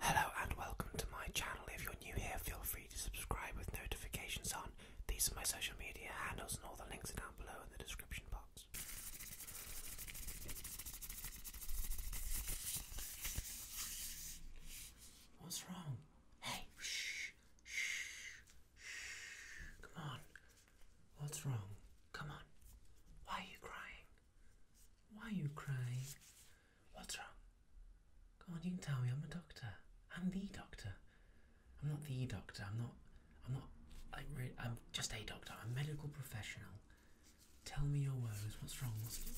Hello and welcome to my channel. If you're new here, feel free to subscribe with notifications on. These are my social media handles, and all the links are down below in the description box. What's wrong? Hey, shh, shh, shh. Come on. What's wrong? Come on. Why are you crying? Why are you crying? What's wrong? Go on, you can tell me. I'm a doctor. I'm the doctor. I'm not the doctor. I'm not. I'm not. I re- I'm just a doctor. I'm a medical professional. Tell me your woes. What's wrong? What's on.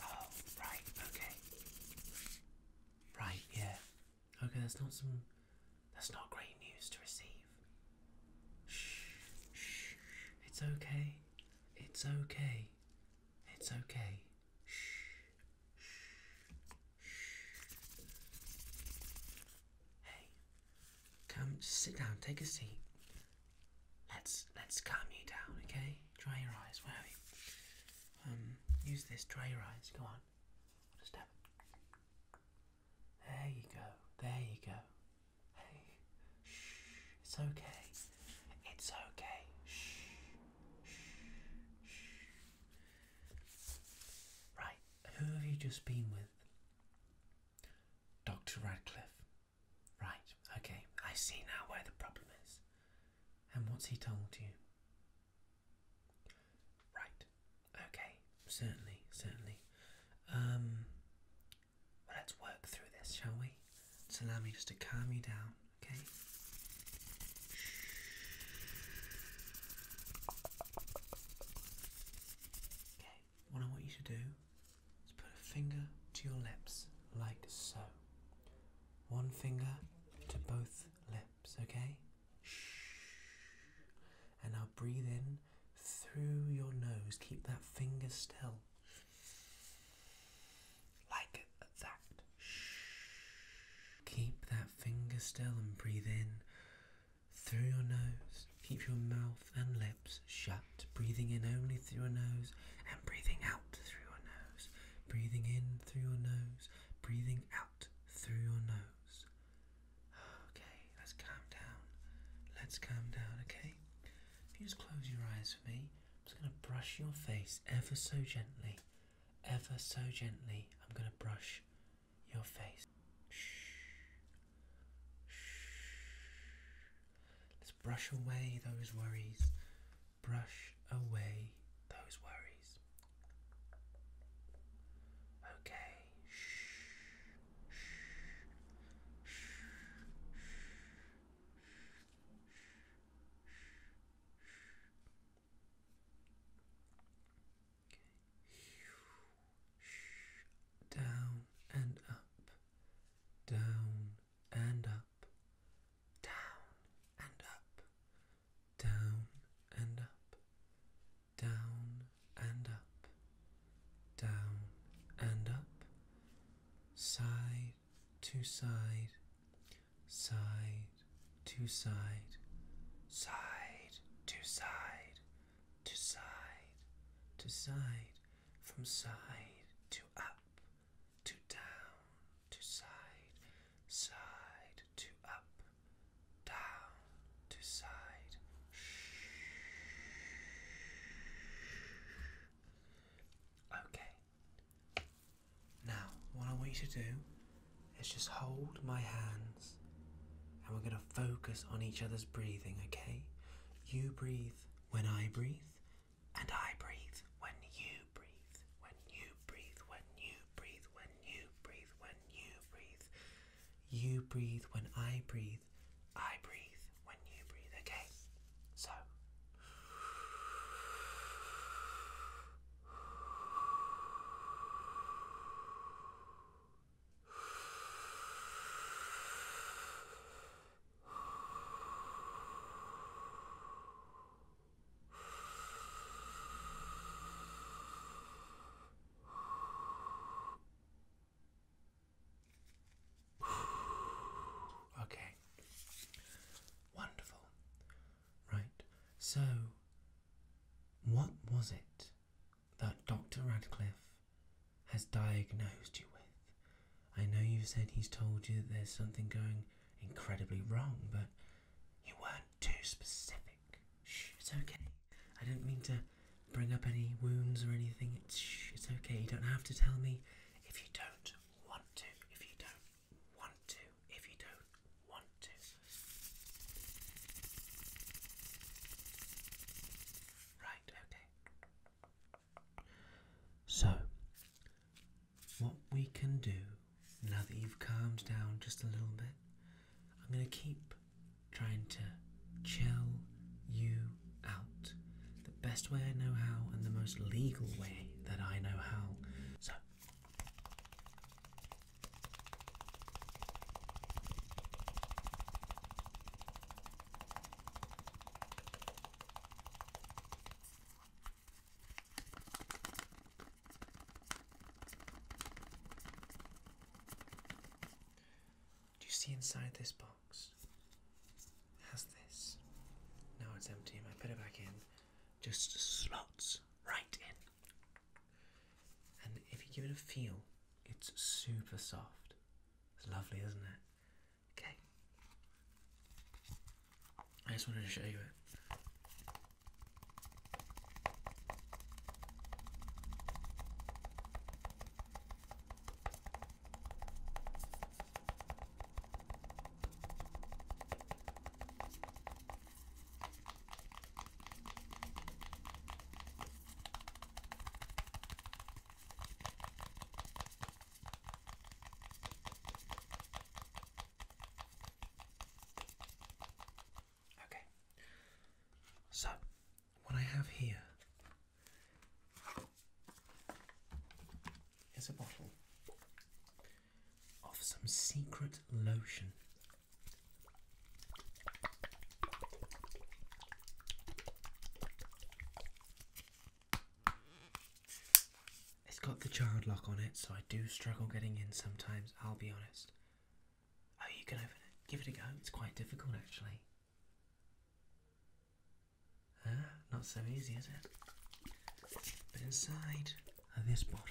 Oh, right. Okay. Right. Yeah. Okay. That's not some. That's not great news to receive. Shh, shh, it's okay. It's okay. It's okay. Shh, shh, shh. Hey, come, just sit down. Take a seat. Let's let's calm you down, okay? Dry your eyes. Where are we? Um, use this. Dry your eyes. Go on. Just tap. There you go. There you go. Hey. Shh. It's okay. It's okay. Shh. Shh. Shh. Right. Who have you just been with? Dr. Radcliffe. Right. Okay. I see now where the problem is. And what's he told you? Right. Okay. Certainly. Certainly. Um let's work through this, shall we? Just allow me just to calm you down, okay? Okay, what I want you to do is put a finger to your lips like so. One finger to both lips, okay? Shh and now breathe in through your nose. Keep that finger still. Like that. Keep that finger still and breathe in through your nose. Keep your mouth and lips shut. Breathing in only through your nose and breathing out through your nose. Breathing in through your nose. Breathing out through your nose. Okay, let's calm down. Let's calm down, okay? If you just close your eyes for me, I'm just going to brush your face ever so gently. Ever so gently, I'm going to brush your face. Shh. Shh. Let's brush away those worries. Brush away those worries. Okay. Shh. Okay. Down and up, down and up, down and up, down and up, down and up, down and up, side to side, side to side, side to side, to side to side, from side to up, to down to side, side to up, down to side. Okay. Now, what I want you to do is just hold my hands and we're going to focus on each other's breathing, okay? You breathe when I breathe, and I breathe when you breathe, when you breathe, when you breathe, when you breathe, when you breathe. You breathe when I breathe, I breathe when you breathe, okay? So. Okay. Wonderful. Right. So, what was it that Dr. Radcliffe has diagnosed you with? I know you have said he's told you that there's something going incredibly wrong, but you weren't too specific. Shh, it's okay. I didn't mean to bring up any wounds or anything. It's, okay. You don't have to tell me if you don't want to. If you don't want to. If you don't want to. Right, okay. So, what we can do now that you've calmed down just a little bit, I'm going to keep trying to chill you out the best way I know how and the most legal way that I know how. So, do you see inside this box? has this. Now it's empty. I put it back in. Just slots right in. And if you give it a feel, it's super soft. It's lovely, isn't it? Okay. I just wanted to show you it. Okay, so what I have here is a bottle of some secret lotion. It's got the child lock on it, so I do struggle getting in sometimes, I'll be honest. Oh, you can open it. Give it a go. It's quite difficult, actually not so easy, is it? But inside of this bottle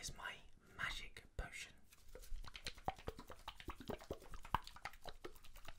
is my magic potion.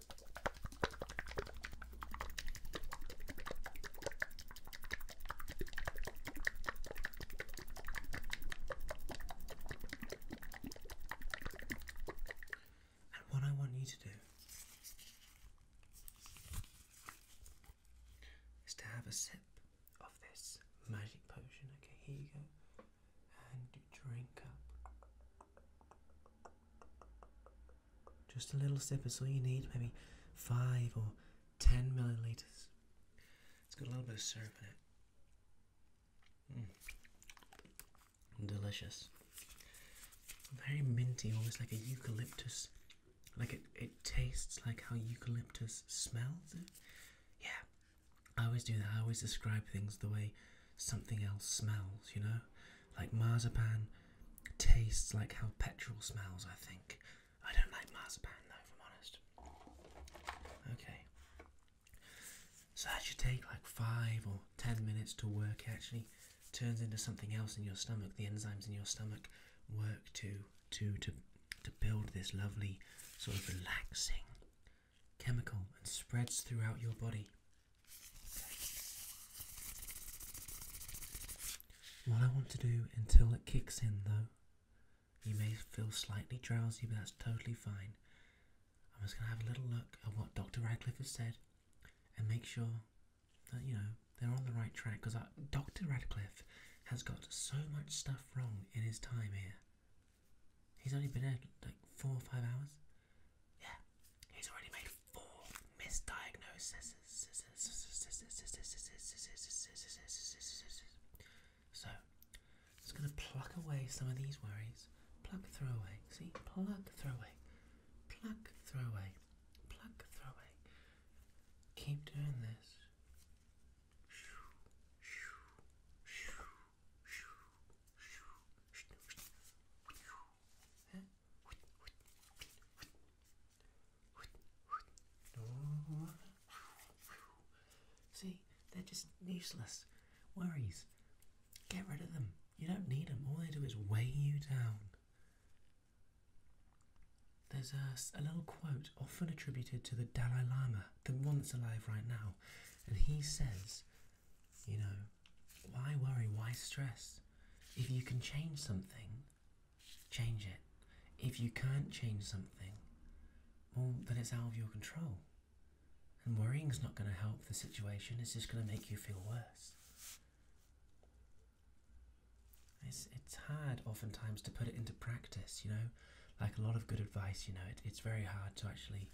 And what I want you to do is to have a sip of this magic potion. Okay, here you go. And drink up. Just a little sip is all you need, maybe five or ten milliliters. It's got a little bit of syrup in it. Mm. Delicious. Very minty, almost like a eucalyptus. Like it, it tastes like how eucalyptus smells. Yeah. I always do that. I always describe things the way something else smells, you know? Like marzipan tastes like how petrol smells, I think. I don't like marzipan though, if I'm honest. Okay. So that should take like five or ten minutes to work. actually turns into something else in your stomach. The enzymes in your stomach work to to to to build this lovely sort of relaxing chemical and spreads throughout your body. What I want to do until it kicks in, though, you may feel slightly drowsy, but that's totally fine. I'm just going to have a little look at what Dr. Radcliffe has said and make sure that, you know, they're on the right track because uh, Dr. Radcliffe has got so much stuff wrong in his time here. He's only been there like four or five hours. Yeah, He's already made four misdiagnoses. So, just going to pluck away some of these worries. Pluck, throw away. See? Pluck, throw away. Pluck, throw away. Pluck, throw away. Keep doing this. See, they're just useless worries. Get rid of them. You don't need them. All they do is weigh you down. There's a little quote often attributed to the Dalai Lama, the one that's alive right now, and he says you know, why worry? Why stress? If you can change something, change it. If you can't change something, well, then it's out of your control. And worrying is not going to help the situation, it's just going to make you feel worse. It's, it's hard oftentimes to put it into practice, you know, like a lot of good advice, you know, it's very hard to actually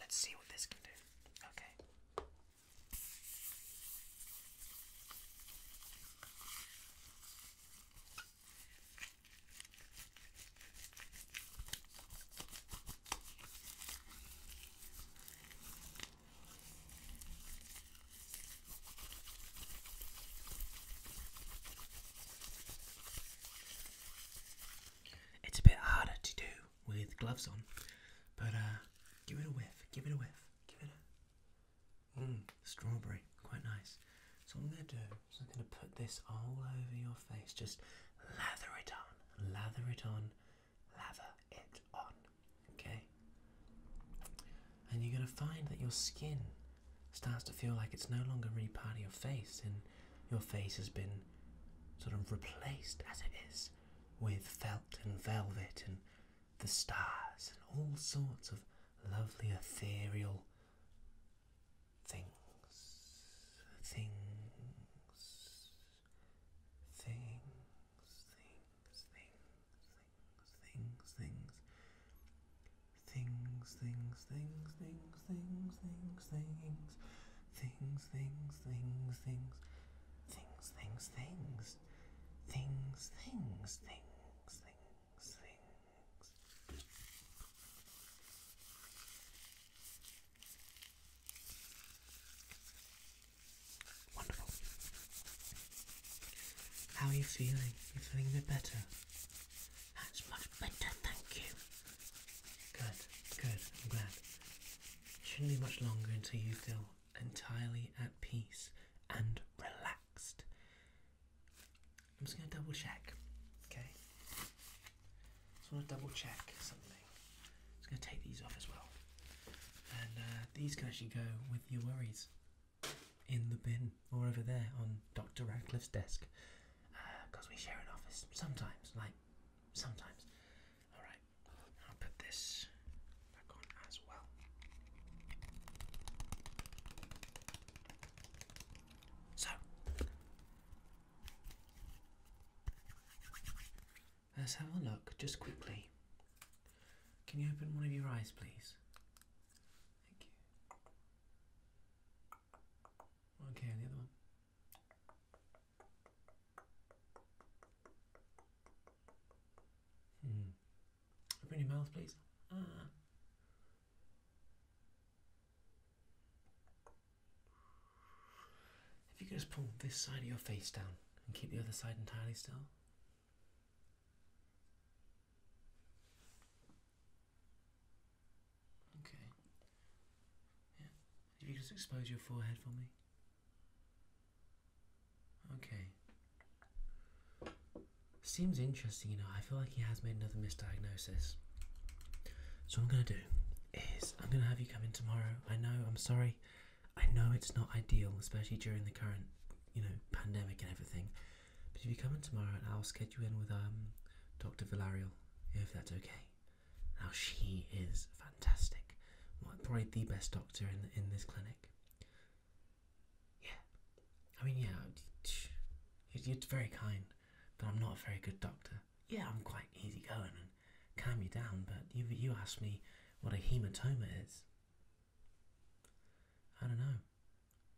Let's see what this can do. Okay. It's a bit harder to do with gloves on, but uh, give it a whiff, give it a whiff, give it a. Mmm, strawberry, quite nice. So, I'm going to do is I'm going to put this all over your face, just lather it on, lather it on, lather it on, okay? And you're going to find that your skin starts to feel like it's no longer really part of your face, and your face has been sort of replaced as it is with felt and velvet and the stars and all sorts of lovely ethereal things, things, things, things, things, things, things, things. Things, things, things, things, things, things, things, things, things, things, things, things, things, things, things, things, things, Wonderful. How are you feeling? You feeling a bit better? That's much better, thank you. Good, good, I'm glad. It shouldn't be much longer until you feel entirely at peace and relaxed. I'm just going to double check, okay? Just want to double check something. I'm just going to take these off as well. And uh, these can actually go with your worries in the bin or over there on Dr. Radcliffe's desk. Because uh, we share an office sometimes, like sometimes. Alright, I'll put this back on as well. So, let's have a look just quickly. Can you open one of your eyes, please? Thank you. Okay, the other one. Hmm. Open your mouth, please. Ah. If you could just pull this side of your face down and keep the other side entirely still. Okay. Yeah. If you just expose your forehead for me. Okay. Seems interesting, you know. I feel like he has made another misdiagnosis. So what I'm gonna do is I'm gonna have you come in tomorrow. I know. I'm sorry. I know it's not ideal, especially during the current, you know, pandemic and everything. But if you come in tomorrow, and I'll schedule you in with um, Dr. Villarreal, if that's okay. Now she is fantastic. Probably the best doctor in in this clinic. Yeah, I mean, yeah, you're very kind, but I'm not a very good doctor. Yeah, I'm quite easygoing and calm you down, but you you asked me what a hematoma is. I don't know.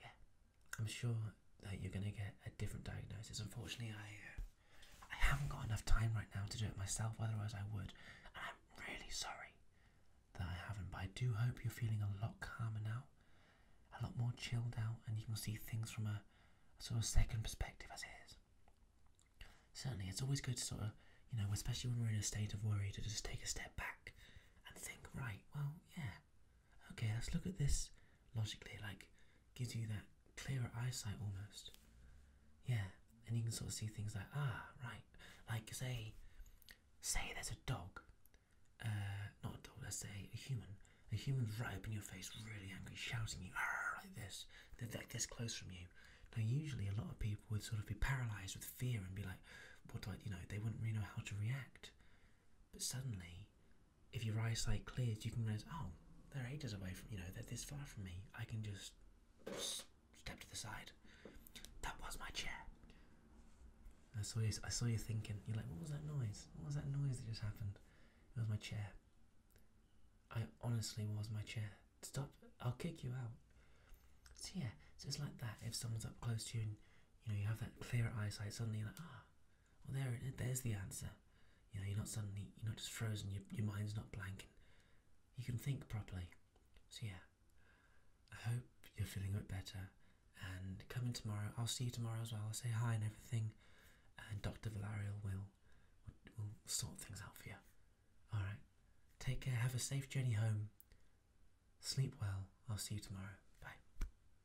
yeah, I'm sure that you're gonna get a different diagnosis. Unfortunately, I, uh, I haven't got enough time right now to do it myself. Otherwise, I would. And I'm really sorry that I haven't. But I do hope you're feeling a lot calmer now, a lot more chilled out, and you can see things from a sort of second perspective as it is. Certainly, it's always good to sort of, you know, especially when we're in a state of worry, to just take a step back and think, right, well, yeah, Okay, let's look at this logically, like, gives you that clearer eyesight almost. Yeah, and you can sort of see things like, ah, right, like, say, say there's a dog, uh, not a dog, let's say a human. A human's right up in your face, really angry, shouting you, like this. They're like this close from you. Now, usually a lot of people would sort of be paralyzed with fear and be like, what do I, you know, they wouldn't really know how to react. But suddenly, if your eyesight clears, you can realize, oh, they're ages away from, you know, they're this far from me. I can just step to the side. That was my chair. I saw you. I saw you thinking. You're like, what was that noise? What was that noise that just happened? It was my chair. I honestly was my chair. Stop! I'll kick you out. So yeah, so it's like that. If someone's up close to you, and you know you have that clear eyesight, suddenly you're like, ah, well, there there's the answer. You know, you're not suddenly, you're not just frozen. Your, your mind's not blank. You can think properly. So yeah, I hope you're feeling a bit better. And coming tomorrow. I'll see you tomorrow as well. I'll say hi and everything. And Dr. Valerial will, will, sort things out for you. All right. Take care. Have a safe journey home. Sleep well. I'll see you tomorrow. Bye.